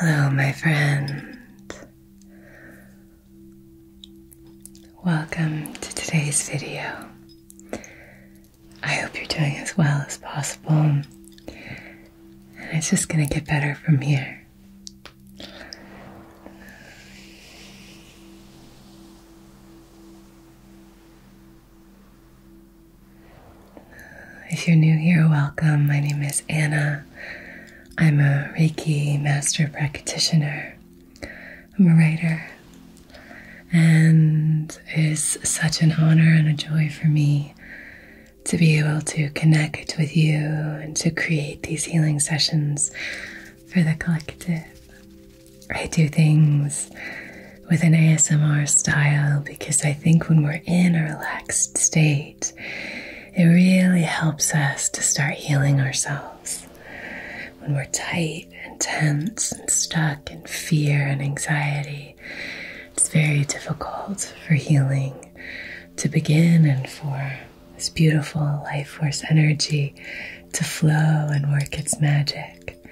Hello, my friend. Welcome to today's video. I hope you're doing as well as possible, and it's just going to get better from here. If you're new here, welcome. My name is Anna. I'm a Reiki master practitioner. I'm a writer. And it is such an honor and a joy for me to be able to connect with you and to create these healing sessions for the collective. I do things with an ASMR style because I think when we're in a relaxed state, it really helps us to start healing ourselves. When we're tight and tense and stuck in fear and anxiety, it's very difficult for healing to begin and for this beautiful life force energy to flow and work its magic.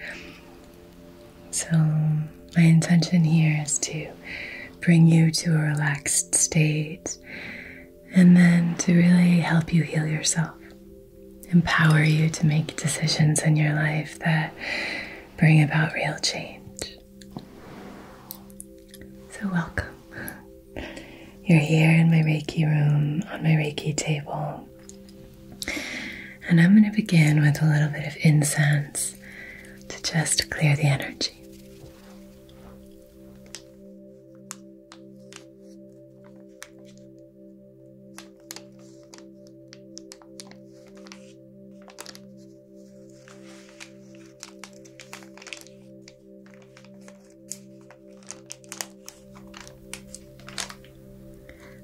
So, my intention here is to bring you to a relaxed state and then to really help you heal yourself, empower you to make decisions in your life that bring about real change. So, welcome. You're here in my Reiki room on my Reiki table. And I'm going to begin with a little bit of incense to just clear the energy.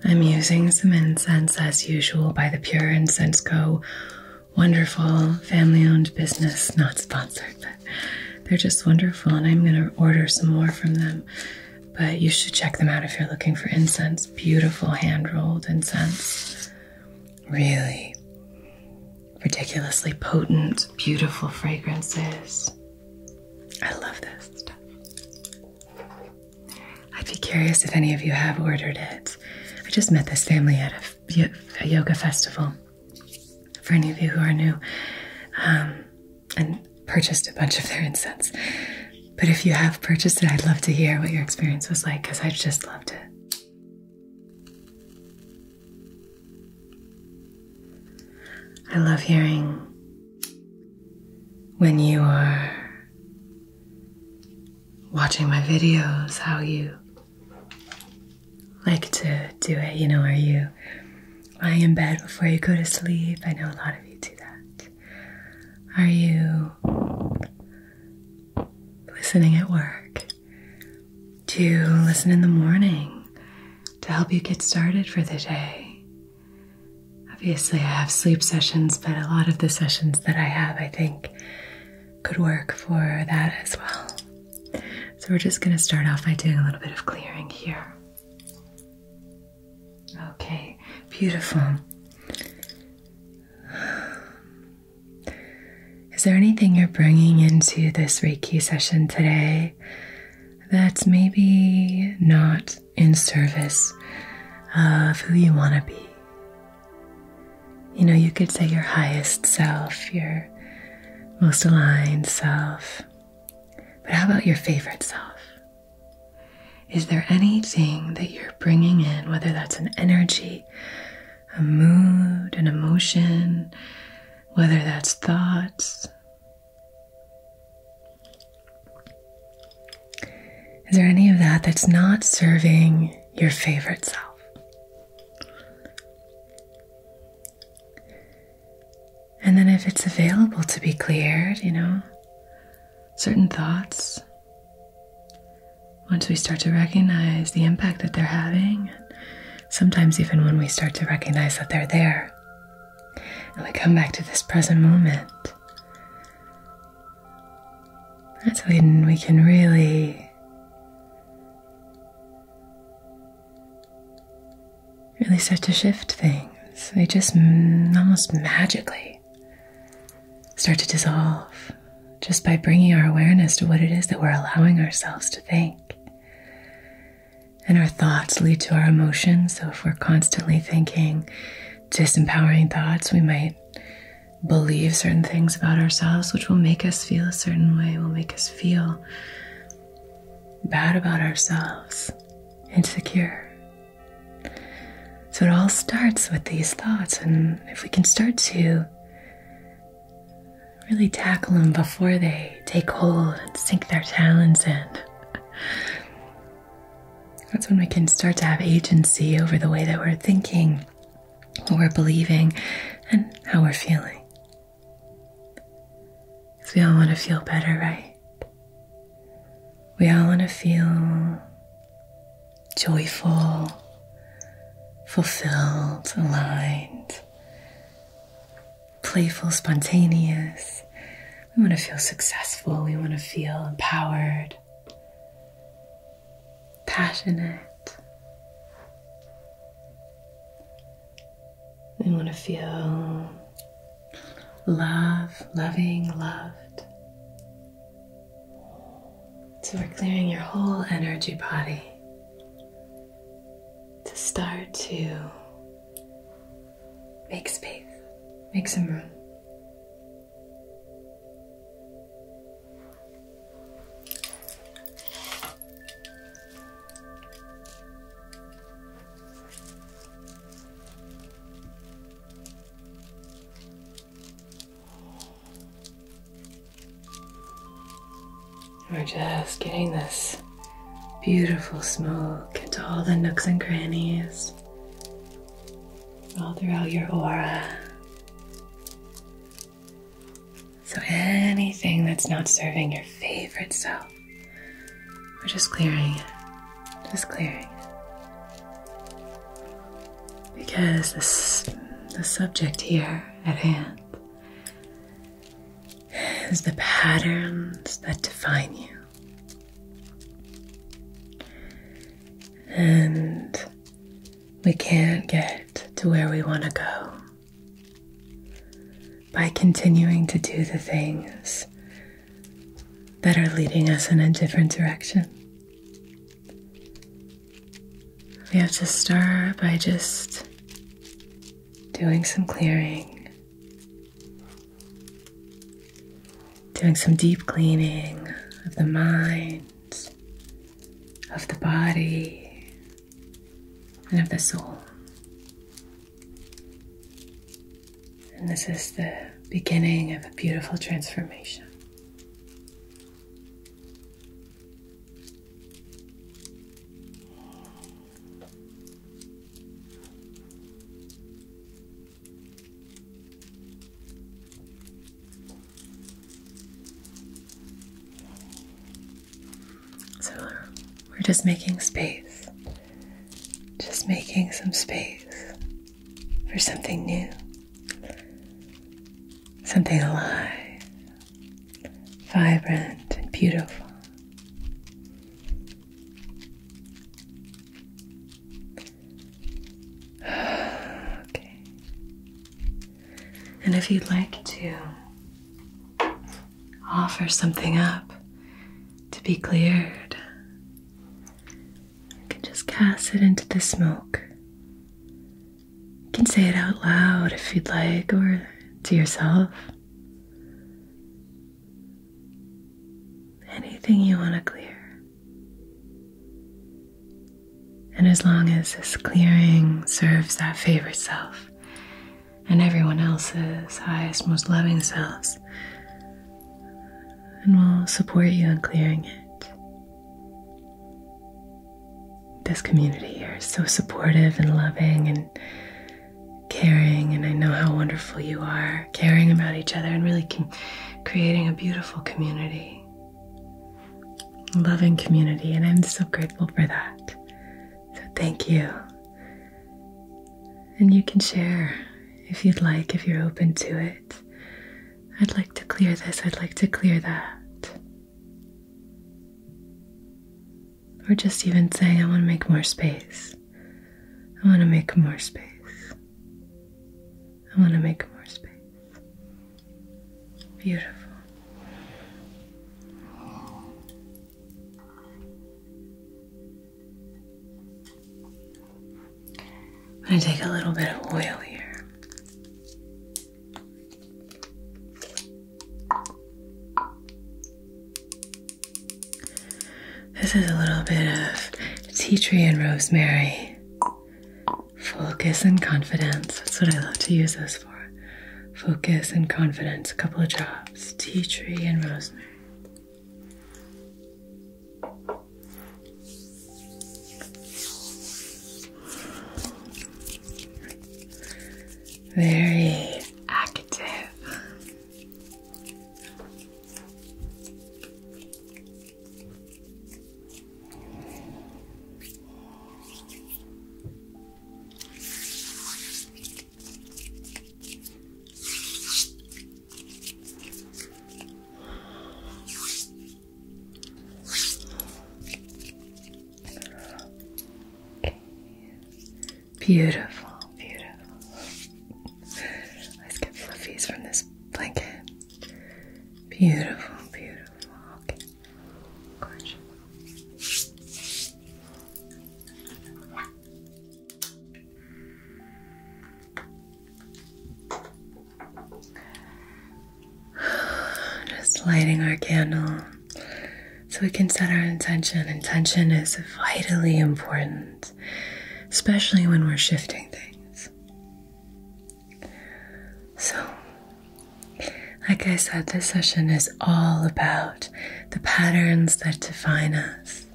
I'm using some incense as usual by the Pure Incense Co. Wonderful family owned business, not sponsored, but they're just wonderful, and I'm going to order some more from them. But you should check them out if you're looking for incense. Beautiful hand rolled incense. Really ridiculously potent, beautiful fragrances. I love this stuff. I'd be curious if any of you have ordered it. I just met this family at a, yoga festival. For any of you who are new, um, and purchased a bunch of their incense. But if you have purchased it, I'd love to hear what your experience was like because I just loved it. I love hearing when you are watching my videos how you like to do it. You know, are you lying in bed before you go to sleep? I know a lot of you do that. Are you listening at work? to listen in the morning to help you get started for the day. Obviously, I have sleep sessions, but a lot of the sessions that I have, I think, could work for that as well. So, we're just going to start off by doing a little bit of clearing here. Okay, beautiful. Is there anything you're bringing into this Reiki session today that's maybe not in service of who you want to be? You know, you could say your highest self, your most aligned self, but how about your favorite self? Is there anything that you're bringing in, whether that's an energy, a mood, an emotion, whether that's thoughts. Is there any of that that's not serving your favorite self? And then, if it's available to be cleared, you know, certain thoughts once we start to recognize the impact that they're having, sometimes even when we start to recognize that they're there, and we come back to this present moment, that's when we can really. Really start to shift things. They just almost magically start to dissolve just by bringing our awareness to what it is that we're allowing ourselves to think. And our thoughts lead to our emotions. So if we're constantly thinking disempowering thoughts, we might believe certain things about ourselves, which will make us feel a certain way, will make us feel bad about ourselves, insecure. So it all starts with these thoughts. And if we can start to Really tackle them before they take hold and sink their talons in. That's when we can start to have agency over the way that we're thinking, what we're believing, and how we're feeling. Because we all want to feel better, right? We all want to feel joyful, fulfilled, aligned, playful, spontaneous. We want to feel successful, we want to feel empowered, passionate. We want to feel love, loving, loved. So we're clearing your whole energy body to start to make space, make some room. We're just getting this beautiful smoke into all the nooks and crannies, all throughout your aura. So anything that's not serving your favorite self, we're just clearing it, just clearing it. Because this, the subject here at hand is the patterns that define you. And we can't get to where we want to go by continuing to do the things that are leading us in a different direction. We have to start by just doing some clearing, doing some deep cleaning of the mind, of the body, and of the soul. And this is the beginning of a beautiful transformation. So uh, we're just making space, just making some space for something new, something alive, vibrant, and beautiful. okay. And if you'd like to offer something up to be cleared, you can just cast it into the smoke you can say it out loud if you'd like, or to yourself. Anything you want to clear. And as long as this clearing serves that favorite self and everyone else's highest, most loving selves, and we will support you in clearing it. This community here is so supportive and loving and caring, and I know how wonderful you are caring about each other and really creating a beautiful community, loving community, and I'm so grateful for that. So, thank you. And you can share if you'd like, if you're open to it. I'd like to clear this, I'd like to clear that. Or just even saying, I want to make more space. I want to make more space. I want to make more space. Beautiful. I'm going to take a little bit of oil here. This is a little bit of tea tree and rosemary. Focus and confidence. That's what I love to use this for. Focus and confidence. A couple of drops. Tea tree and rosemary very active. Okay. Beautiful, beautiful. Let's get fluffies from this blanket. Beautiful, beautiful. Okay. Just lighting our candle so we can set our intention. Intention is vitally important, especially when we're shifting things. So, like I said, this session is all about the patterns that define us.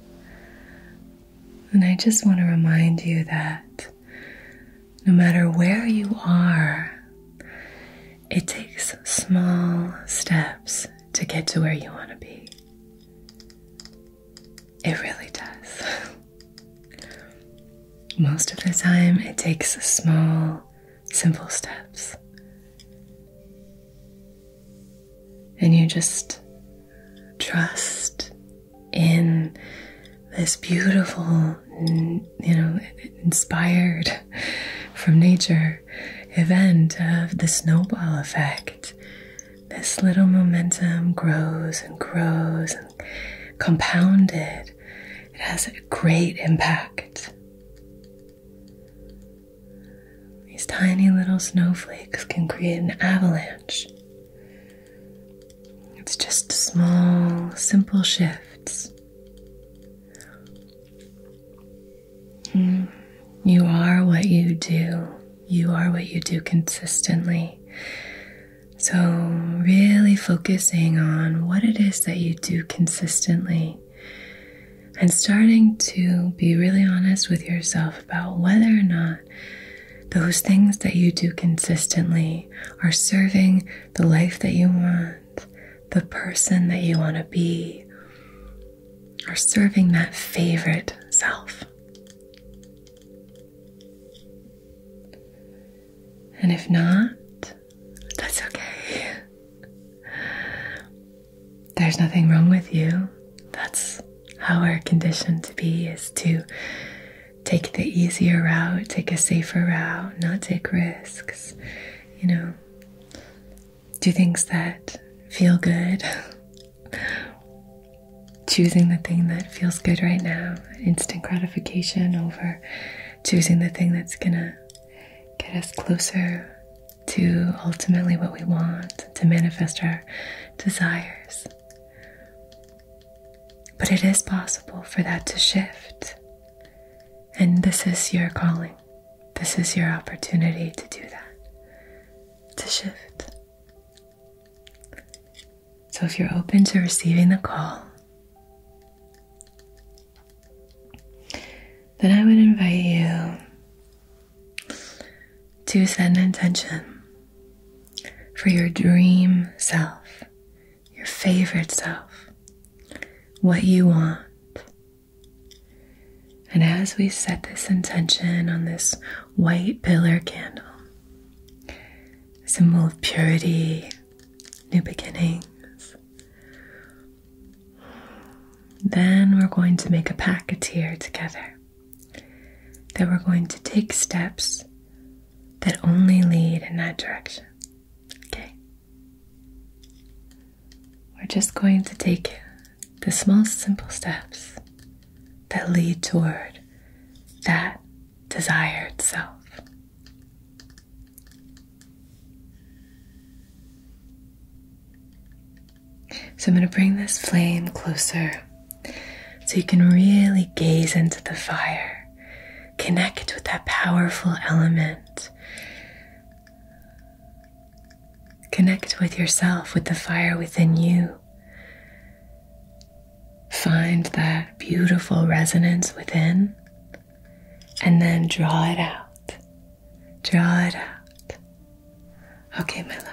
And I just want to remind you that no matter where you are, it takes small steps to get to where you want to be. It really does. Most of the time, it takes small, simple steps. And you just trust in this beautiful, you know, inspired from nature event of the snowball effect. This little momentum grows and grows and compounded. It has a great impact. These tiny little snowflakes can create an avalanche. It's just small, simple shifts Hmm. You are what you do. You are what you do consistently. So, really focusing on what it is that you do consistently and starting to be really honest with yourself about whether or not those things that you do consistently are serving the life that you want, the person that you want to be, or serving that favorite self. And if not, that's okay. There's nothing wrong with you. That's how we're conditioned to be is to take the easier route, take a safer route, not take risks you know, do things that feel good. choosing the thing that feels good right now, instant gratification, over choosing the thing that's gonna get us closer to ultimately what we want, to manifest our desires. But it is possible for that to shift. And this is your calling. This is your opportunity to do that, to shift. So if you're open to receiving the call, then I would invite you to set an intention for your dream self, your favorite self, what you want. And as we set this intention on this white pillar candle, symbol of purity, new beginnings, then we're going to make a pact here together that we're going to take steps that only lead in that direction. Okay? We're just going to take the small, simple steps that lead toward that desired self. So I'm going to bring this flame closer so you can really gaze into the fire Connect with that powerful element. Connect with yourself, with the fire within you. Find that beautiful resonance within and then draw it out. Draw it out. Okay, my love.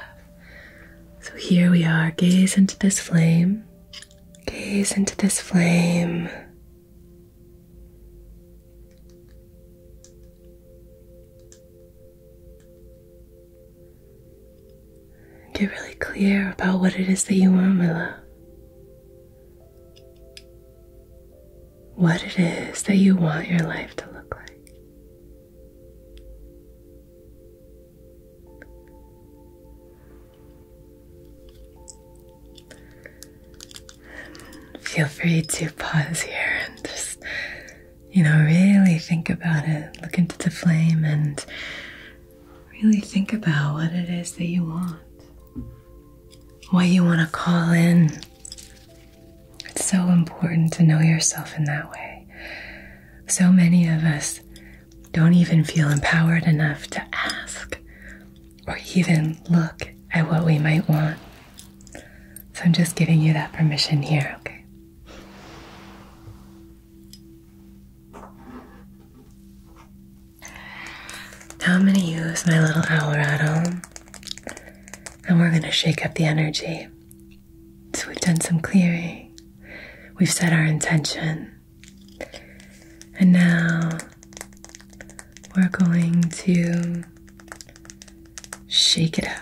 So here we are. Gaze into this flame. Gaze into this flame. Get really clear about what it is that you want, my love. What it is that you want your life to look like. Feel free to pause here and just, you know, really think about it. Look into the flame and really think about what it is that you want, what you want to call in. It's so important to know yourself in that way. So many of us don't even feel empowered enough to ask or even look at what we might want. So I'm just giving you that permission here, okay? Now I'm going to use my little owl rattle and we're going to shake up the energy. So we've done some clearing, we've set our intention. And now we're going to shake it up.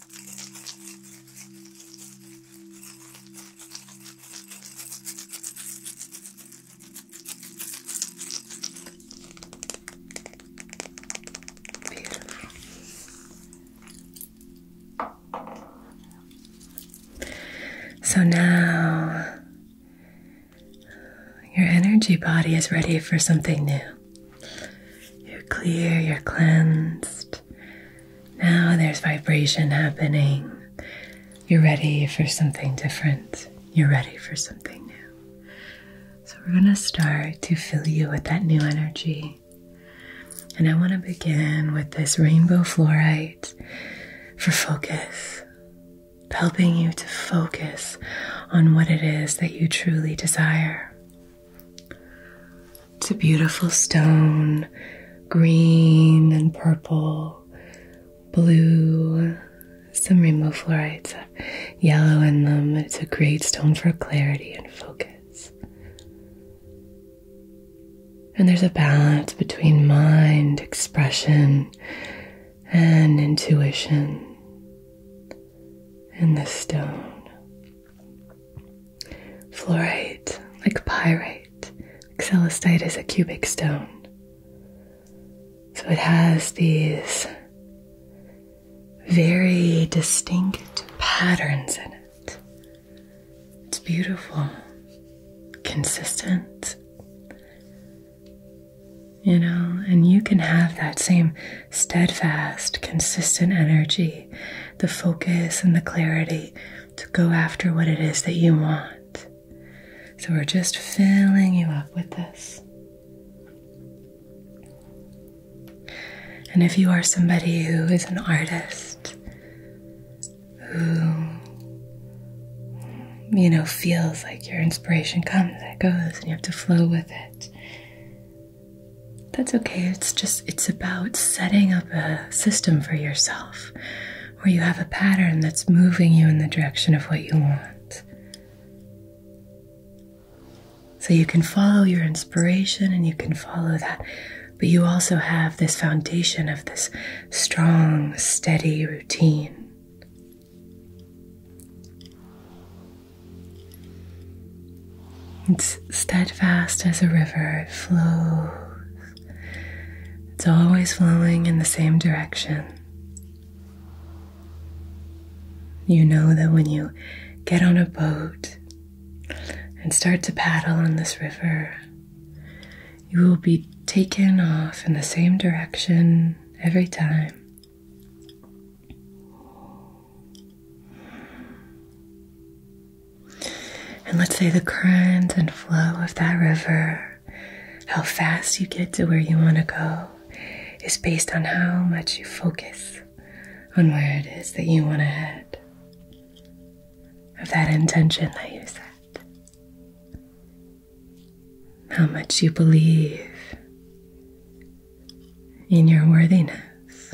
So now your energy body is ready for something new. You're clear, you're cleansed. Now there's vibration happening. You're ready for something different. You're ready for something new. So, we're going to start to fill you with that new energy. And I want to begin with this rainbow fluorite for focus, helping you to focus on what it is that you truly desire. It's a beautiful stone, green and purple, blue, some rainbow fluorites yellow in them. It's a great stone for clarity and focus. And there's a balance between mind, expression, and intuition in this stone. Fluorite, like pyrite, like celestite is a cubic stone. So it has these very distinct patterns in it. It's beautiful, consistent, you know, and you can have that same steadfast, consistent energy, the focus and the clarity to go after what it is that you want. So we're just filling you up with this. And if you are somebody who is an artist, who you know feels like your inspiration comes and it goes and you have to flow with it that's okay. It's just, it's about setting up a system for yourself where you have a pattern that's moving you in the direction of what you want. So you can follow your inspiration and you can follow that, but you also have this foundation of this strong, steady routine. It's steadfast as a river, it flows. It's always flowing in the same direction. You know that when you get on a boat and start to paddle on this river, you will be taken off in the same direction every time. And let's say the current and flow of that river, how fast you get to where you want to go, is based on how much you focus on where it is that you want to head, of that intention that you set. How much you believe in your worthiness.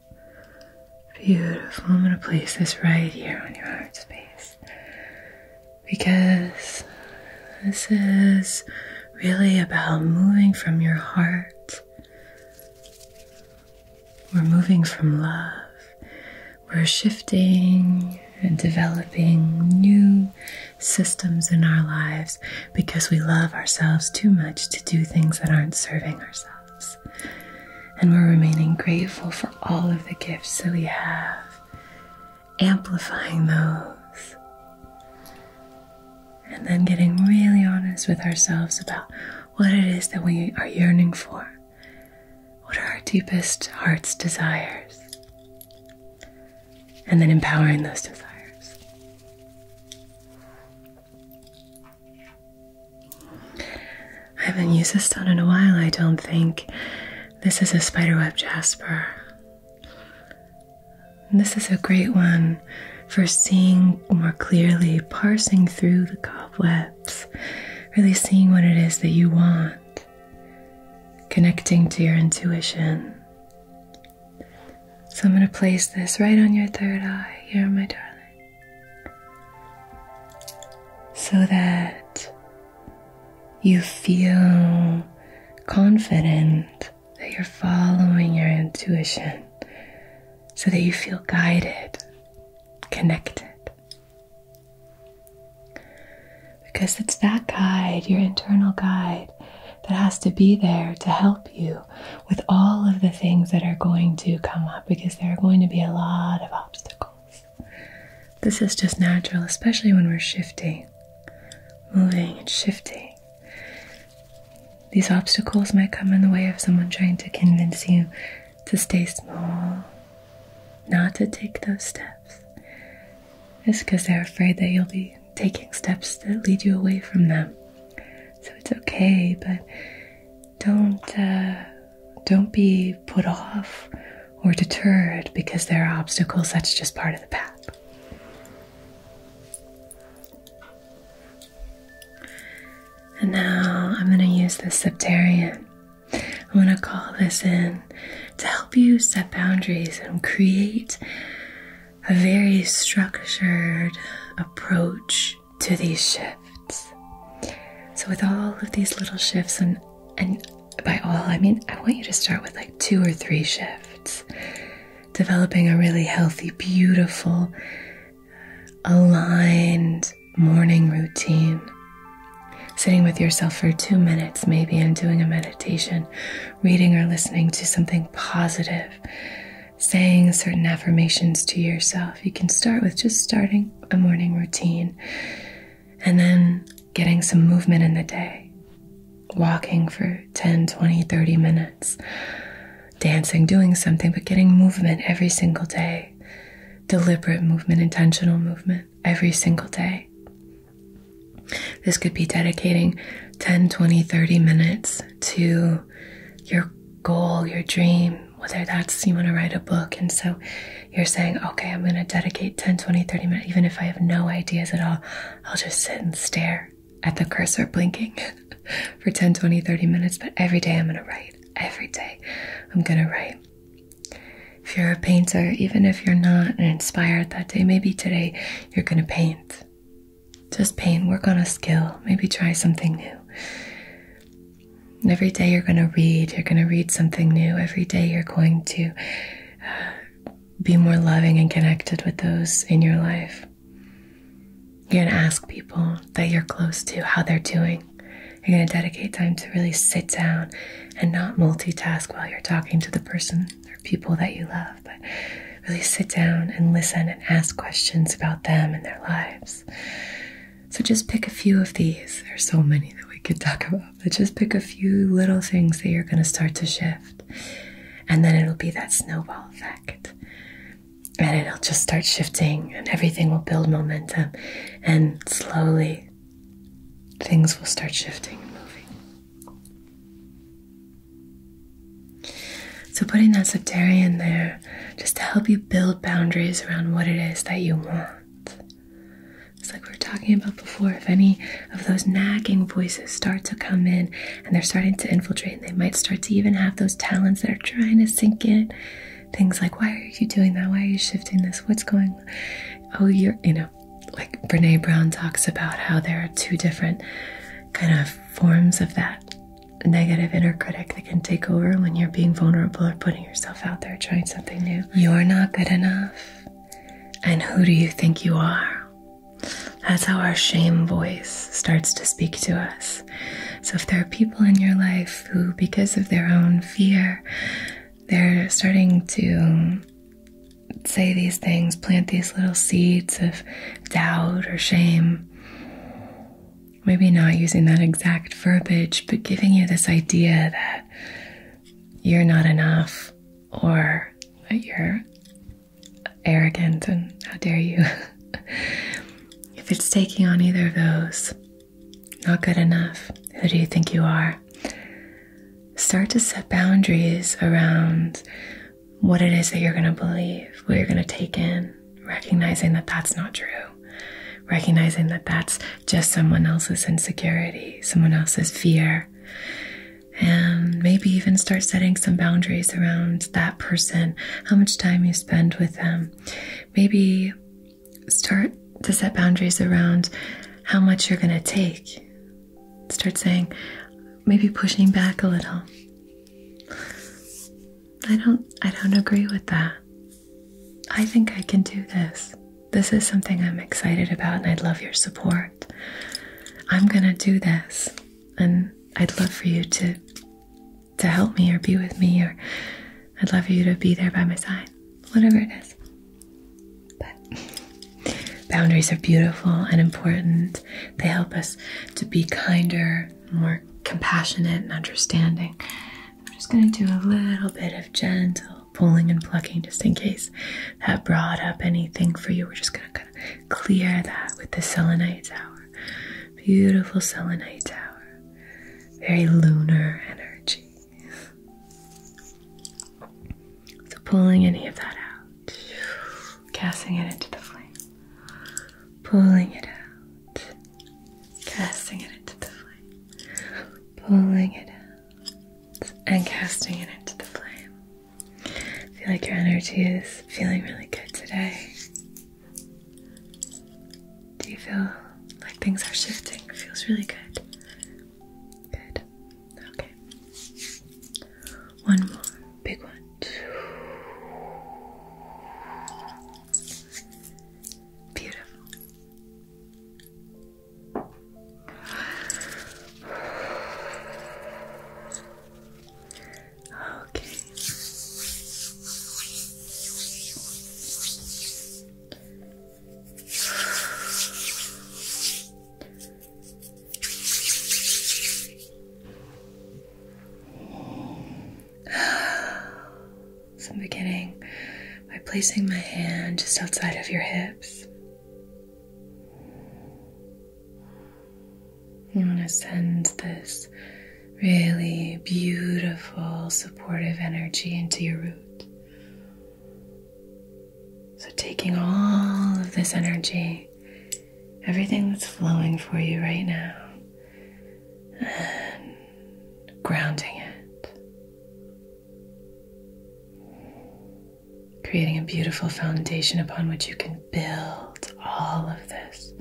Beautiful. I'm going to place this right here on your heart space because this is really about moving from your heart. We're moving from love. We're shifting and developing new systems in our lives because we love ourselves too much to do things that aren't serving ourselves. And we're remaining grateful for all of the gifts that we have, amplifying those. And then getting really honest with ourselves about what it is that we are yearning for. What are our deepest heart's desires? And then empowering those desires. I haven't used this stone in a while, I don't think. This is a spiderweb jasper. this is a great one for seeing more clearly, parsing through the cobwebs, really seeing what it is that you want, connecting to your intuition. So I'm going to place this right on your third eye here, my darling so that you feel confident that you're following your intuition, so that you feel guided, connected. Because it's that guide, your internal guide, that has to be there to help you with all of the things that are going to come up. Because there are going to be a lot of obstacles. This is just natural, especially when we're shifting, moving, and shifting. These obstacles might come in the way of someone trying to convince you to stay small, not to take those steps. It's because they're afraid that you'll be taking steps that lead you away from them. So it's okay, but don't uh, don't be put off or deterred because there are obstacles. That's just part of the path. And now I'm going to use the Septarian. I'm going to call this in to help you set boundaries and create a very structured approach to these shifts. So, with all of these little shifts, and, and by all, I mean, I want you to start with like two or three shifts, developing a really healthy, beautiful, aligned morning routine. Sitting with yourself for two minutes, maybe, and doing a meditation, reading or listening to something positive, saying certain affirmations to yourself. You can start with just starting a morning routine and then getting some movement in the day, walking for 10, 20, 30 minutes, dancing, doing something, but getting movement every single day, deliberate movement, intentional movement every single day. This could be dedicating 10, 20, 30 minutes to your goal, your dream, whether that's you want to write a book. And so you're saying, okay, I'm going to dedicate 10, 20, 30 minutes, even if I have no ideas at all, I'll just sit and stare at the cursor blinking for 10, 20, 30 minutes. But every day I'm going to write. Every day I'm going to write. If you're a painter, even if you're not inspired that day, maybe today you're going to paint. Just paint, work on a skill, maybe try something new every day you're going to read, you're going to read something new. Every day you're going to uh, be more loving and connected with those in your life. You're going to ask people that you're close to how they're doing. You're going to dedicate time to really sit down and not multitask while you're talking to the person or people that you love, but really sit down and listen and ask questions about them and their lives. So just pick a few of these. There's so many that we could talk about, but just pick a few little things that you're going to start to shift. And then it'll be that snowball effect. And it'll just start shifting, and everything will build momentum. And slowly, things will start shifting and moving. So, putting that in there just to help you build boundaries around what it is that you want. It's like we are talking about before. If any of those nagging voices start to come in and they're starting to infiltrate, and they might start to even have those talents that are trying to sink in. Things like, why are you doing that? Why are you shifting this? What's going on? Oh, you're, you know, like Brene Brown talks about how there are two different kind of forms of that negative inner critic that can take over when you're being vulnerable or putting yourself out there trying something new. You're not good enough. And who do you think you are? That's how our shame voice starts to speak to us. So, if there are people in your life who, because of their own fear, they're starting to say these things, plant these little seeds of doubt or shame, maybe not using that exact verbiage, but giving you this idea that you're not enough or that you're arrogant and how dare you. if it's taking on either of those, not good enough, who do you think you are? Start to set boundaries around what it is that you're going to believe, what you're going to take in recognizing that that's not true. Recognizing that that's just someone else's insecurity, someone else's fear. And maybe even start setting some boundaries around that person, how much time you spend with them. Maybe start to set boundaries around how much you're going to take. Start saying, maybe pushing back a little. I don't I don't agree with that. I think I can do this. This is something I'm excited about, and I'd love your support. I'm gonna do this, and I'd love for you to to help me or be with me, or I'd love for you to be there by my side, whatever it is. But boundaries are beautiful and important. They help us to be kinder, more compassionate, and understanding. I'm just going to do a little bit of gentle pulling and plucking just in case that brought up anything for you. We're just going to kind of clear that with the selenite tower. Beautiful selenite tower. Very lunar energy. So pulling any of that out, casting it into the flame, pulling it out, casting it into the flame, pulling it out, and casting it into the flame. I feel like your energy is feeling really good today. Do you feel like things are shifting? feels really good. Good. Okay. One more. Big one. Beautiful. Okay. So I'm beginning by placing my hand just outside of your hips. You want to send this really beautiful, supportive energy into your root. So, taking all of this energy, everything that's flowing for you right now, and grounding it, creating a beautiful foundation upon which you can build all of this,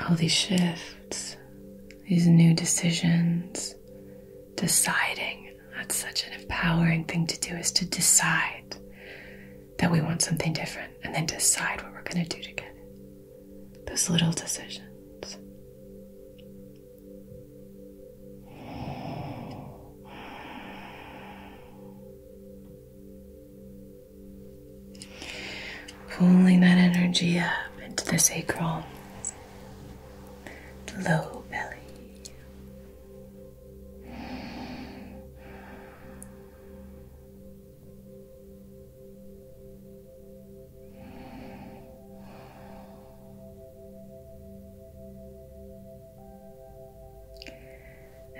all these shifts, these new decisions, deciding. That's such an empowering thing to do is to decide that we want something different and then decide what we're going to do together. Those little decisions. Pulling that energy up into the sacrum, low belly.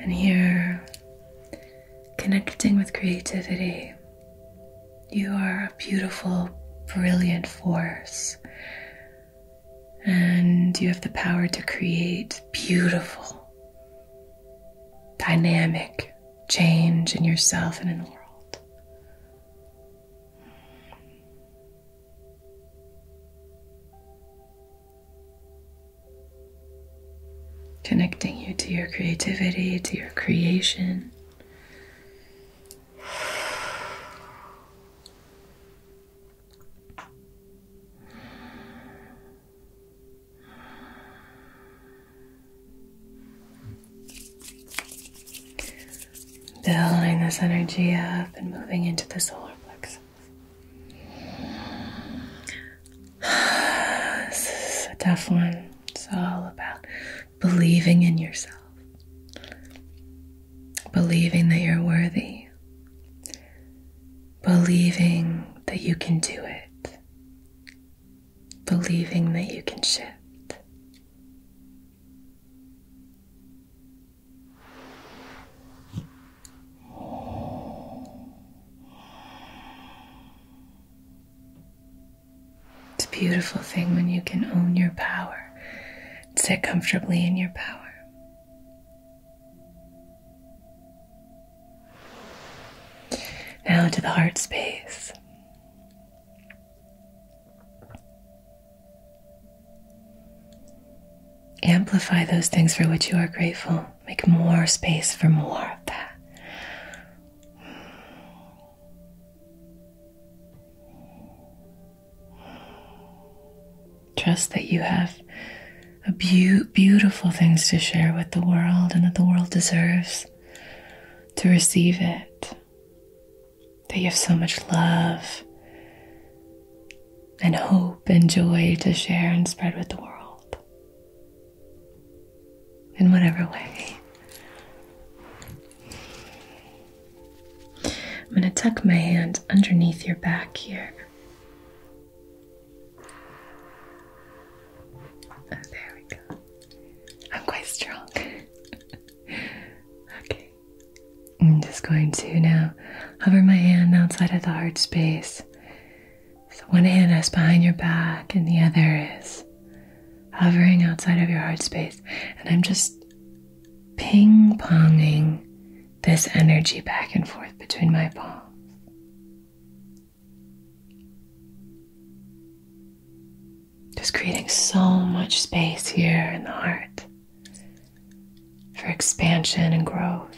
And here, connecting with creativity, you are a beautiful, brilliant force. And you have the power to create beautiful, dynamic, change in yourself and in the world. Connecting you to your creativity, to your creation. Building this energy up and moving into the solar plexus. This is a tough one. It's all about believing in yourself, believing that you're worthy, believing that you can do it, believing that you can shift. It's a beautiful thing when you can own your power, sit comfortably in your power. Now to the heart space. Amplify those things for which you are grateful. Make more space for more of that. Trust that you have a beautiful things to share with the world, and that the world deserves to receive it. That you have so much love and hope and joy to share and spread with the world in whatever way. I'm going to tuck my hand underneath your back here Oh, there we go. I'm quite strong. okay. I'm just going to now hover my hand outside of the heart space. So one hand is behind your back and the other is hovering outside of your heart space. And I'm just ping ponging this energy back and forth between my palms. Just creating so much space here in the heart for expansion and growth.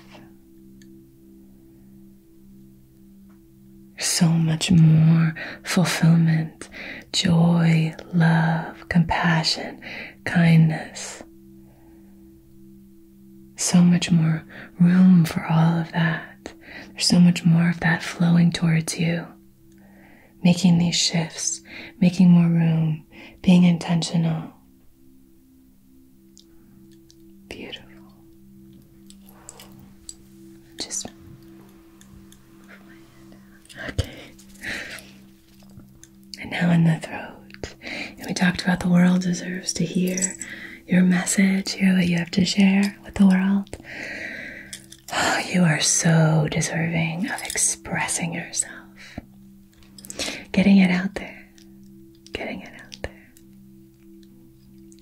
so much more fulfillment, joy, love, compassion, kindness, so much more room for all of that. There's so much more of that flowing towards you. Making these shifts, making more room, being intentional. Beautiful. Just okay. And now in the throat. And we talked about the world deserves to hear your message, hear what you have to share with the world. you are so deserving of expressing yourself, getting it out there, getting it out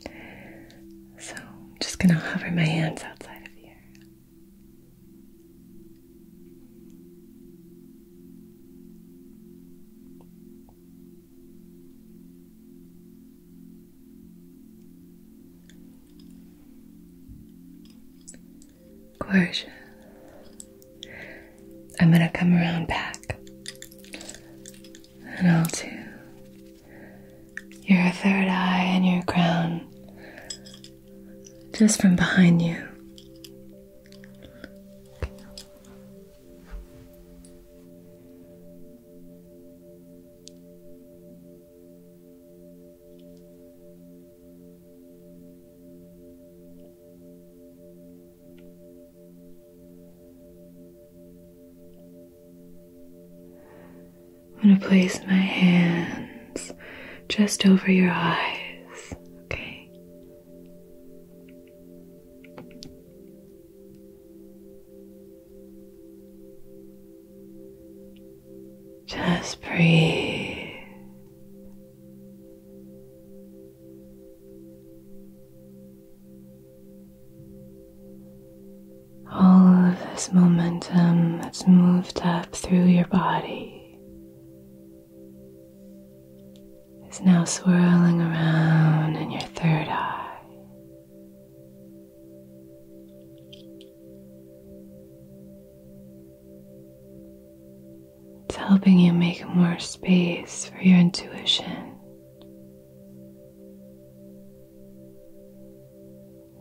there. So, I'm just going to hover my hands outside of here. Gorgeous. I'm gonna come around back and I'll do your third eye and your crown just from behind you. I'm going to place my hands just over your eyes, okay? Just breathe. All of this momentum that's moved up through your body is now swirling around in your third eye. It's helping you make more space for your intuition.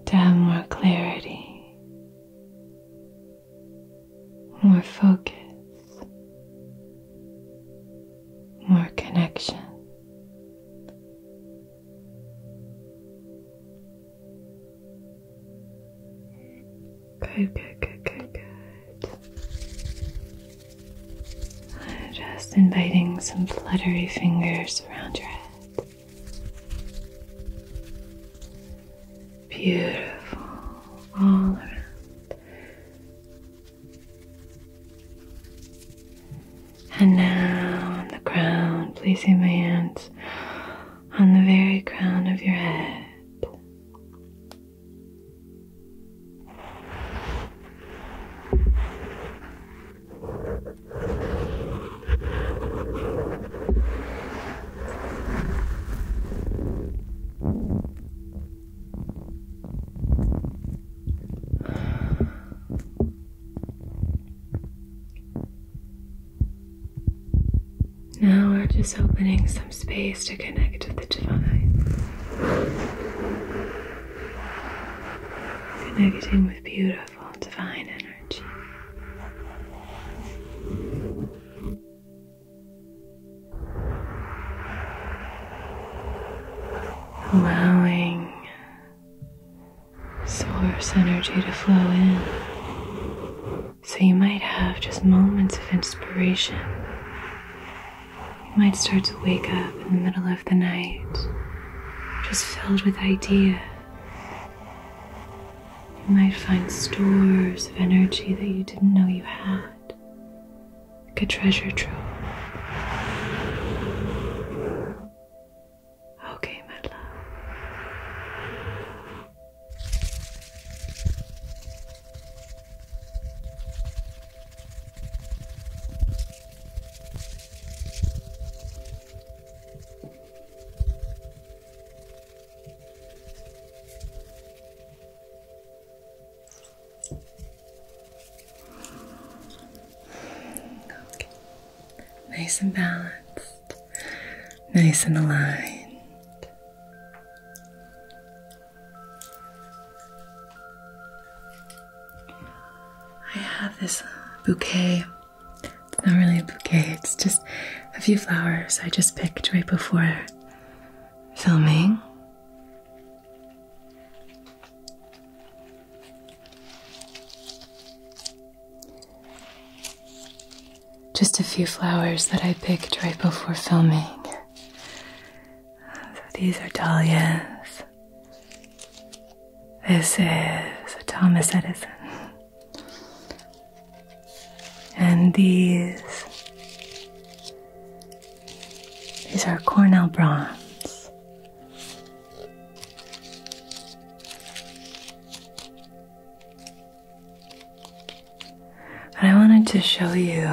To have more clarity, more focus, more connection. Good, good, good, good, good. just inviting some fluttery fingers around your head. Beautiful, all around. And now on the crown, placing my hands on the very crown of your head. Now we're just opening some space to connect with the divine. Connecting with beautiful divine energy allowing source energy to flow in. So you might have just moments of inspiration. You might start to wake up in the middle of the night, just filled with idea. You might find stores of energy that you didn't know you had like a treasure trove. Okay, my love. Nice and balanced, nice and aligned. I have this uh, bouquet. It's not really a bouquet, it's just a few flowers I just picked right before filming. Just a few flowers that I picked right before filming. So these are dahlias. This is Thomas Edison. And these these are Cornell bronze. and I wanted to show you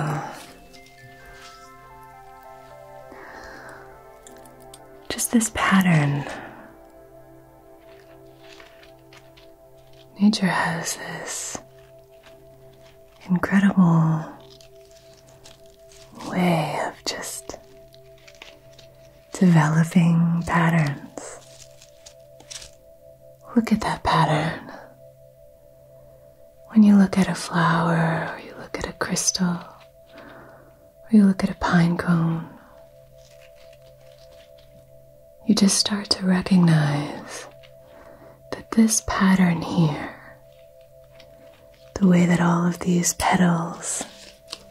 just this pattern. Nature has this incredible way of just developing patterns. Look at that pattern. When you look at a flower, or you look at a crystal, or you look at a pine cone, you just start to recognize that this pattern here the way that all of these petals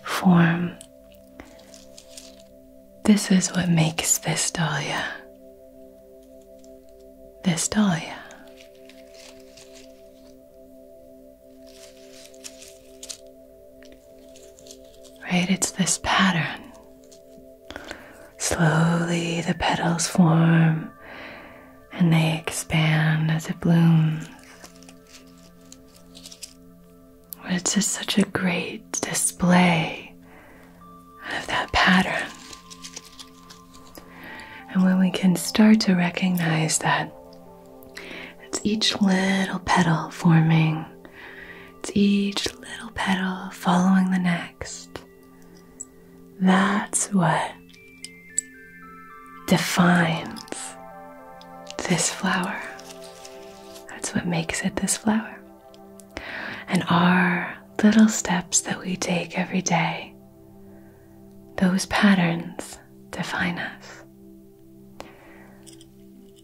form. This is what makes this dahlia. This dahlia. Right? It's this pattern. Slowly the petals form and they expand as it blooms. It's just such a great display of that pattern. And when we can start to recognize that it's each little petal forming, it's each little petal following the next, that's what defines this flower. That's what makes it this flower. And our little steps that we take every day, those patterns define us.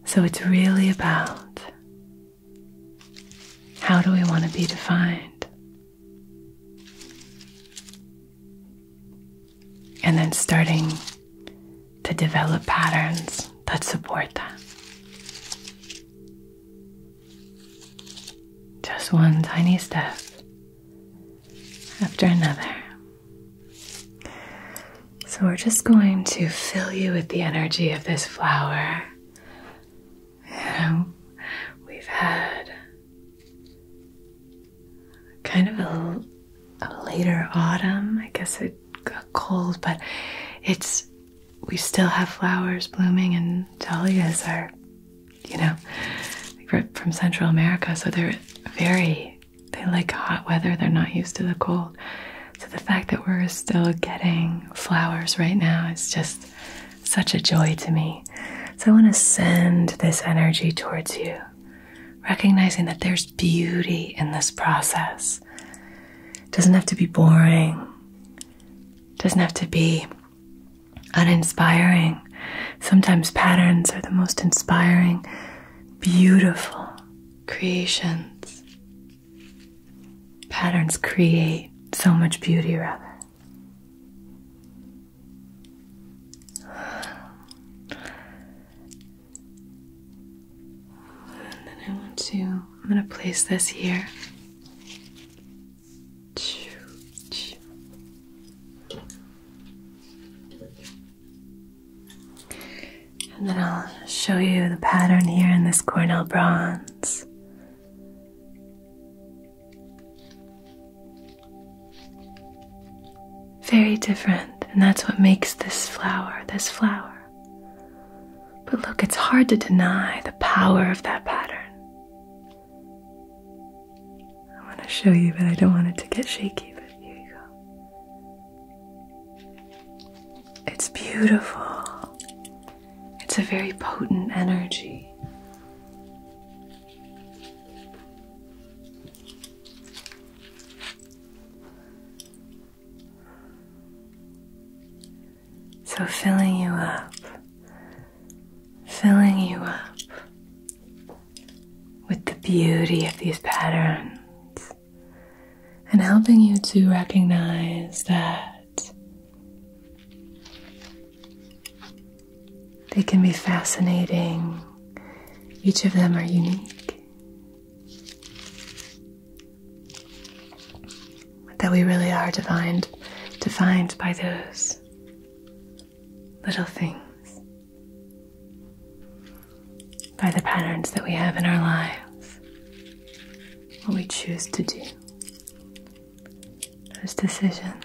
So it's really about how do we want to be defined? And then starting to develop patterns that support that. Just one tiny step after another. So we're just going to fill you with the energy of this flower. You know, we've had kind of a, later autumn. I guess it got cold, but it's we still have flowers blooming, and dahlias are, you know, from Central America, so they're very they like hot weather. They're not used to the cold. So the fact that we're still getting flowers right now is just such a joy to me. So I want to send this energy towards you, recognizing that there's beauty in this process. It doesn't have to be boring. It doesn't have to be uninspiring. Sometimes patterns are the most inspiring, beautiful creations. Patterns create so much beauty, rather. And then I want to, I'm going to place this here. And then I'll show you the pattern here in this Cornell bronze. Very different, and that's what makes this flower this flower. But look, it's hard to deny the power of that pattern. I want to show you, but I don't want it to get shaky, but here you go. It's beautiful, it's a very potent energy. So, filling you up, filling you up with the beauty of these patterns, and helping you to recognize that they can be fascinating. Each of them are unique. That we really are defined, defined by those little things, by the patterns that we have in our lives, what we choose to do, those decisions.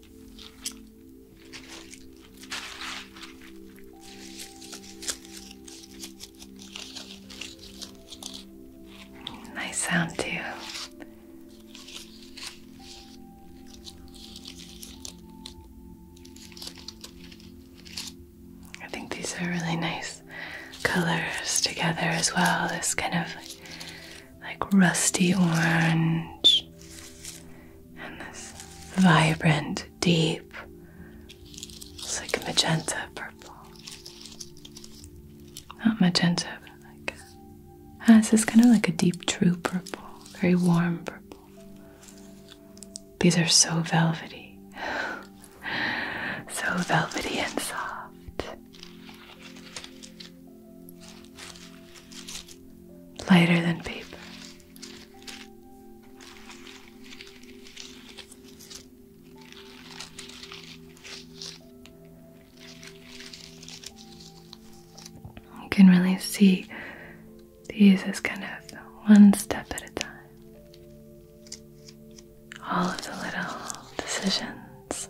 Nice sound, too. I think these are really nice colors together as well. This kind of like rusty orange and this vibrant, deep, it's like magenta purple. Not magenta, but like ah, this is kind of like a deep true purple, very warm purple. These are so velvety. so velvety and soft lighter than paper. You can really see these as kind of one step at a time. All of the little decisions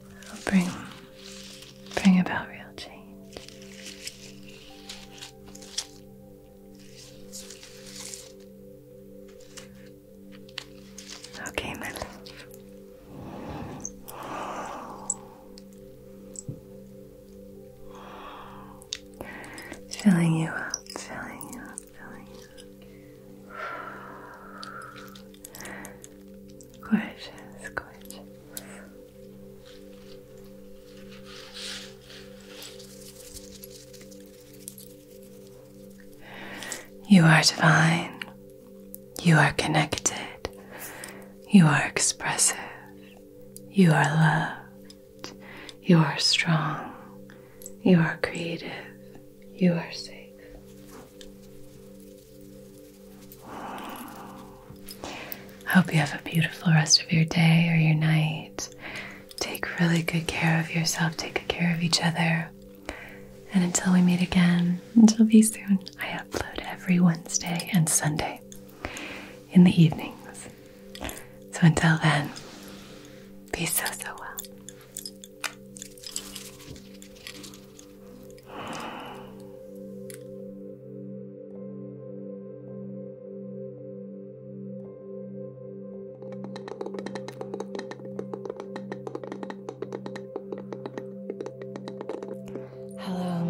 will bring, bring about real change. Okay, my love. Filling you up, filling you up, filling you up. Gorgeous, gorgeous. You are divine. You are connected. You are expressive. You are loved. You are strong. You are creative. You are safe. Hope you have a beautiful rest of your day or your night. Take really good care of yourself, take good care of each other. And until we meet again, until will be soon, I upload every Wednesday and Sunday in the evenings. So until then, be so, so well. Hello,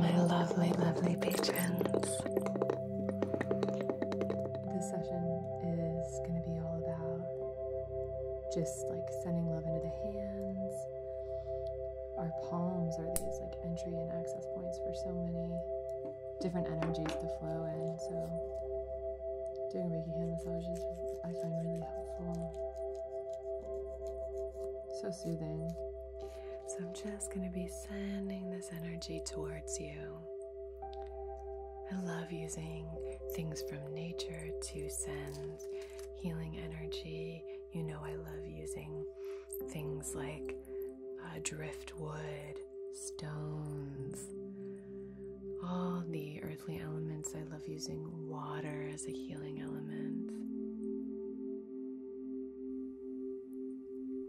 my lovely, lovely patrons. This session is going to be all about just like sending love into the hands. Our palms are these like entry and access points for so many different energies to flow in. So doing Reiki hand massages I find really helpful. So soothing. So I'm just going to be sending this energy towards you. I love using things from nature to send healing energy. You know, I love using things like uh, driftwood, stones, all the earthly elements. I love using water as a healing element.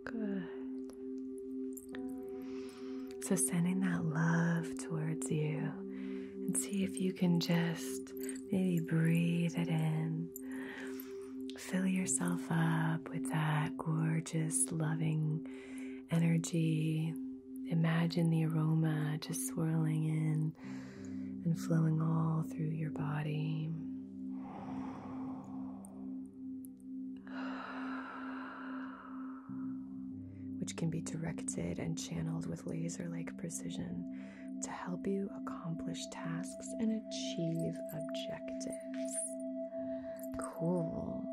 Good. So, sending that love towards you and see if you can just maybe breathe it in. Fill yourself up with that gorgeous, loving energy. Imagine the aroma just swirling in and flowing all through your body which can be directed and channeled with laser like precision to help you accomplish tasks and achieve objectives. Cool.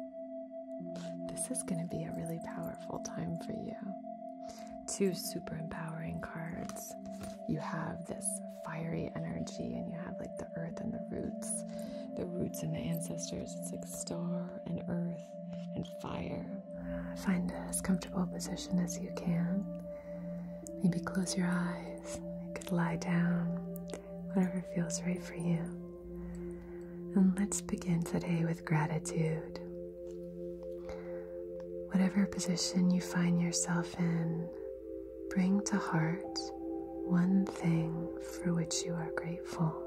This is going to be a really powerful time for you. Two super empowering cards. You have this fiery energy, and you have like the earth and the roots, the roots and the ancestors. It's like star and earth and fire. Find as comfortable a position as you can. Maybe close your eyes. You could lie down, whatever feels right for you. And let's begin today with gratitude. Whatever position you find yourself in, bring to heart one thing for which you are grateful.